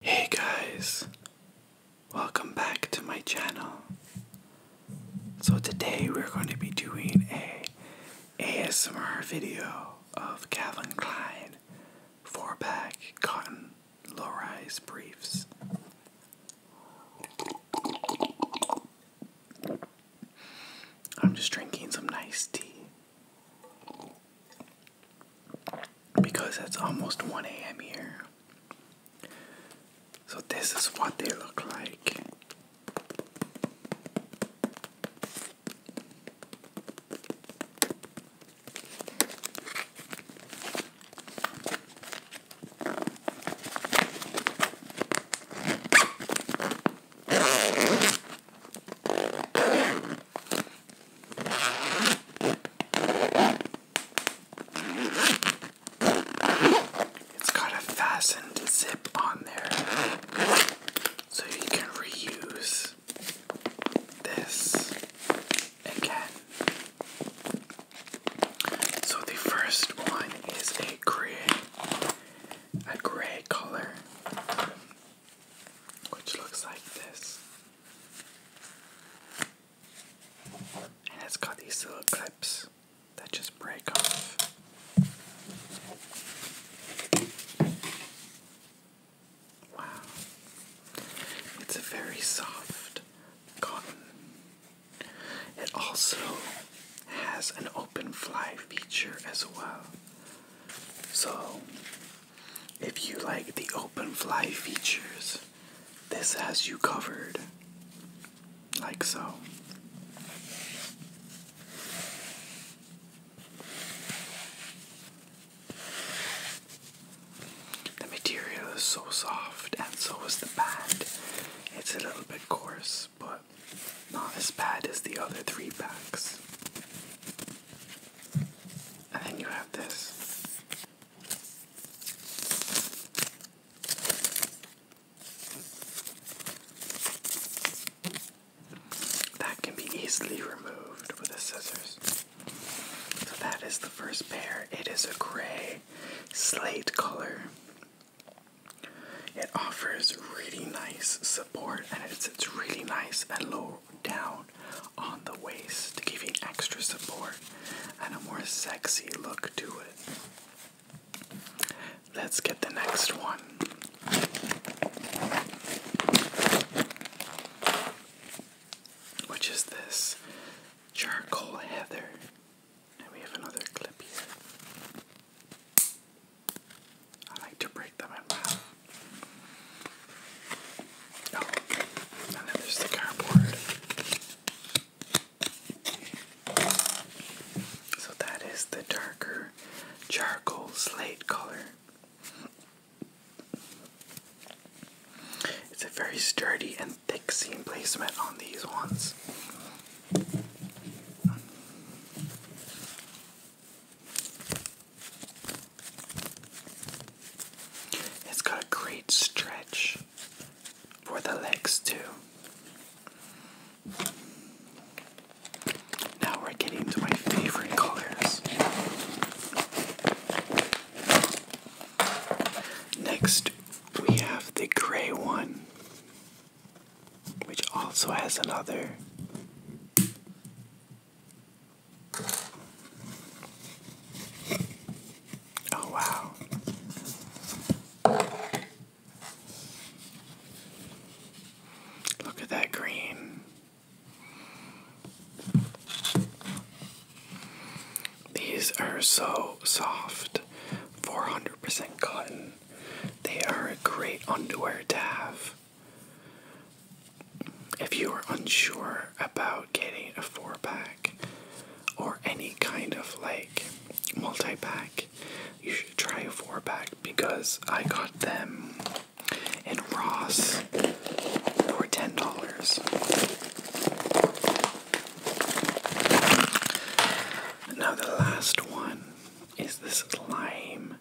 Hey guys, welcome back to my channel. So today we're going to be doing a ASMR video of Calvin Klein 4-pack cotton low-rise briefs. I'm just drinking some nice tea because it's almost 1 a.m. here. So, this is what they look like. It's got a fastened zip on there so you can reuse this again. So the first one is a gray a gray color which looks like this. And it's got these little clips that just break off. Wow. It's a very soft cotton. It also has an open fly feature as well, so, if you like the open fly features, this has you covered. Like so. The material is so soft, and so is the band. It's a little bit coarse but not as bad as the other three packs. And then you have this. That can be easily removed with the scissors. So that is the first pair. It is a gray slate color. It offers really nice support and it's sits really nice and low down on the waist to give you extra support and a more sexy look to it. Let's get the next one. Which is this charcoal heather. And we have another clip here. I like to break them in half. Oh, and then there's the cardboard. So that is the darker charcoal slate color. It's a very sturdy and thick seam placement on these ones. It's got a great stretch for the legs, too. Now we're getting to my favorite colors. Next, we have the gray one which also has another Oh wow. Look at that green. These are so soft. 400% cotton. They are a great underwear to have. If you are unsure about getting a four pack or any kind of like multi pack, you should try a four pack because I got them in Ross for $10. Now, the last one is this lime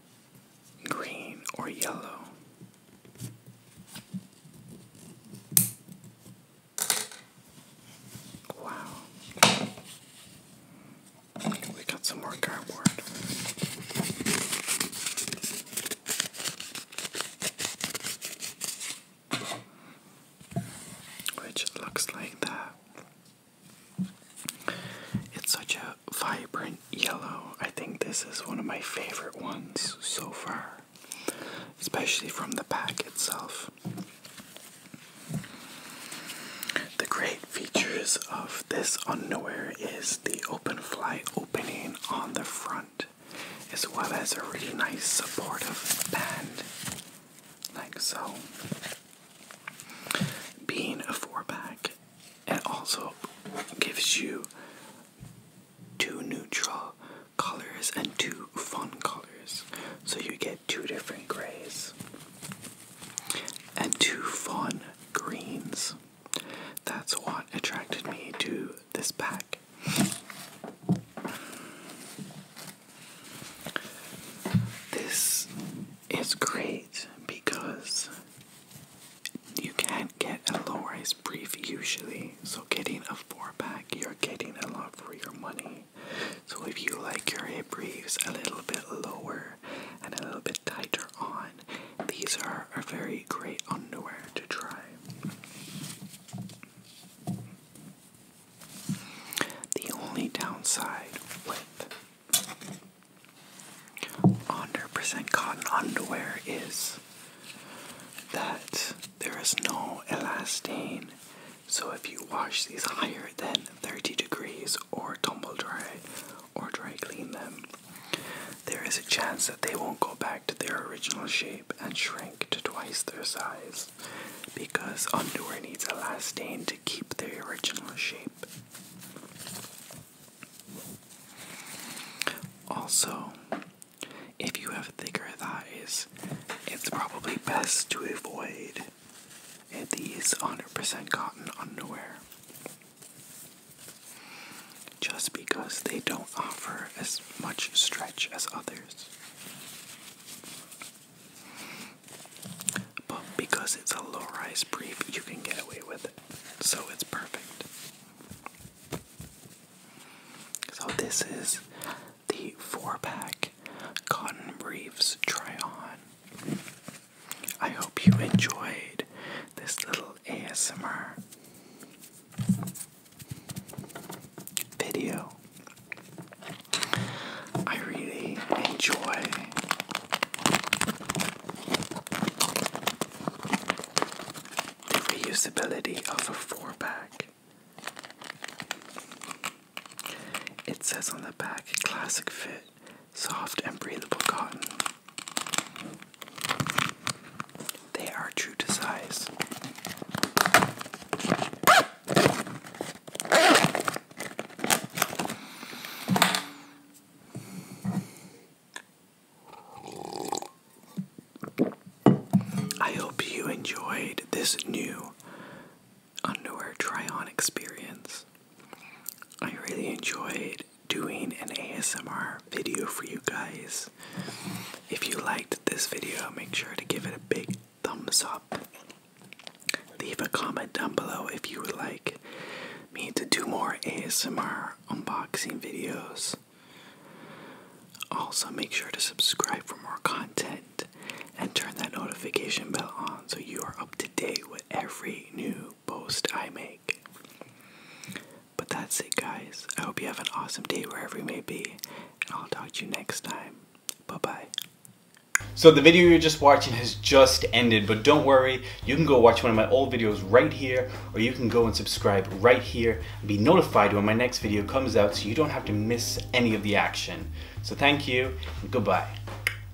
green or yellow. Wow. We got some more cardboard which looks like that. It's such a vibrant yellow. I think this is one of my favorite ones so far, especially from the pack itself. The great features of this underwear is the open fly opening on the front as well as a really nice supportive band, like so. Being a four pack, it also gives you two neutral colors and two fun colors, so you get two different grays and two fun greens. That's what attracted me to this pack. This is great because you can't get a low rise brief usually, so getting a four pack, you're getting a lot for your money. So if you like your hip briefs a little bit lower and a little bit tighter on, these are a very great underwear to try. The only downside with 100% cotton underwear is that there is no elastane. So if you wash these higher than 30 degrees or tumble dry or dry clean them, there is a chance that they won't go back to their original shape and shrink to twice their size because underwear needs a elastane to keep their original shape. Also, if you have thicker thighs, it's probably best to avoid these 100% cotton underwear just because they don't offer as much stretch as others. But because it's a low rise brief, you can get away with it. So it's perfect. So this is the four pack cotton briefs try on. I hope you enjoyed this little ASMR video. I really enjoy the reusability of a four pack. It says on the back classic fit soft and breathable cotton. They are true to size. I hope you enjoyed this new underwear try on experience. I really enjoyed doing an ASMR video for you guys. If you liked this video, make sure to give it a big thumbs up. Leave a comment down below if you would like me to do more ASMR unboxing videos. Also, make sure to subscribe for more content and turn that notification bell on so you are up to date with every new post I make. But that's it, guys. I hope you have an awesome day wherever you may be, and I'll talk to you next time. Bye bye. So the video you're just watching has just ended, but don't worry, you can go watch one of my old videos right here, or you can go and subscribe right here and be notified when my next video comes out so you don't have to miss any of the action. So thank you, goodbye.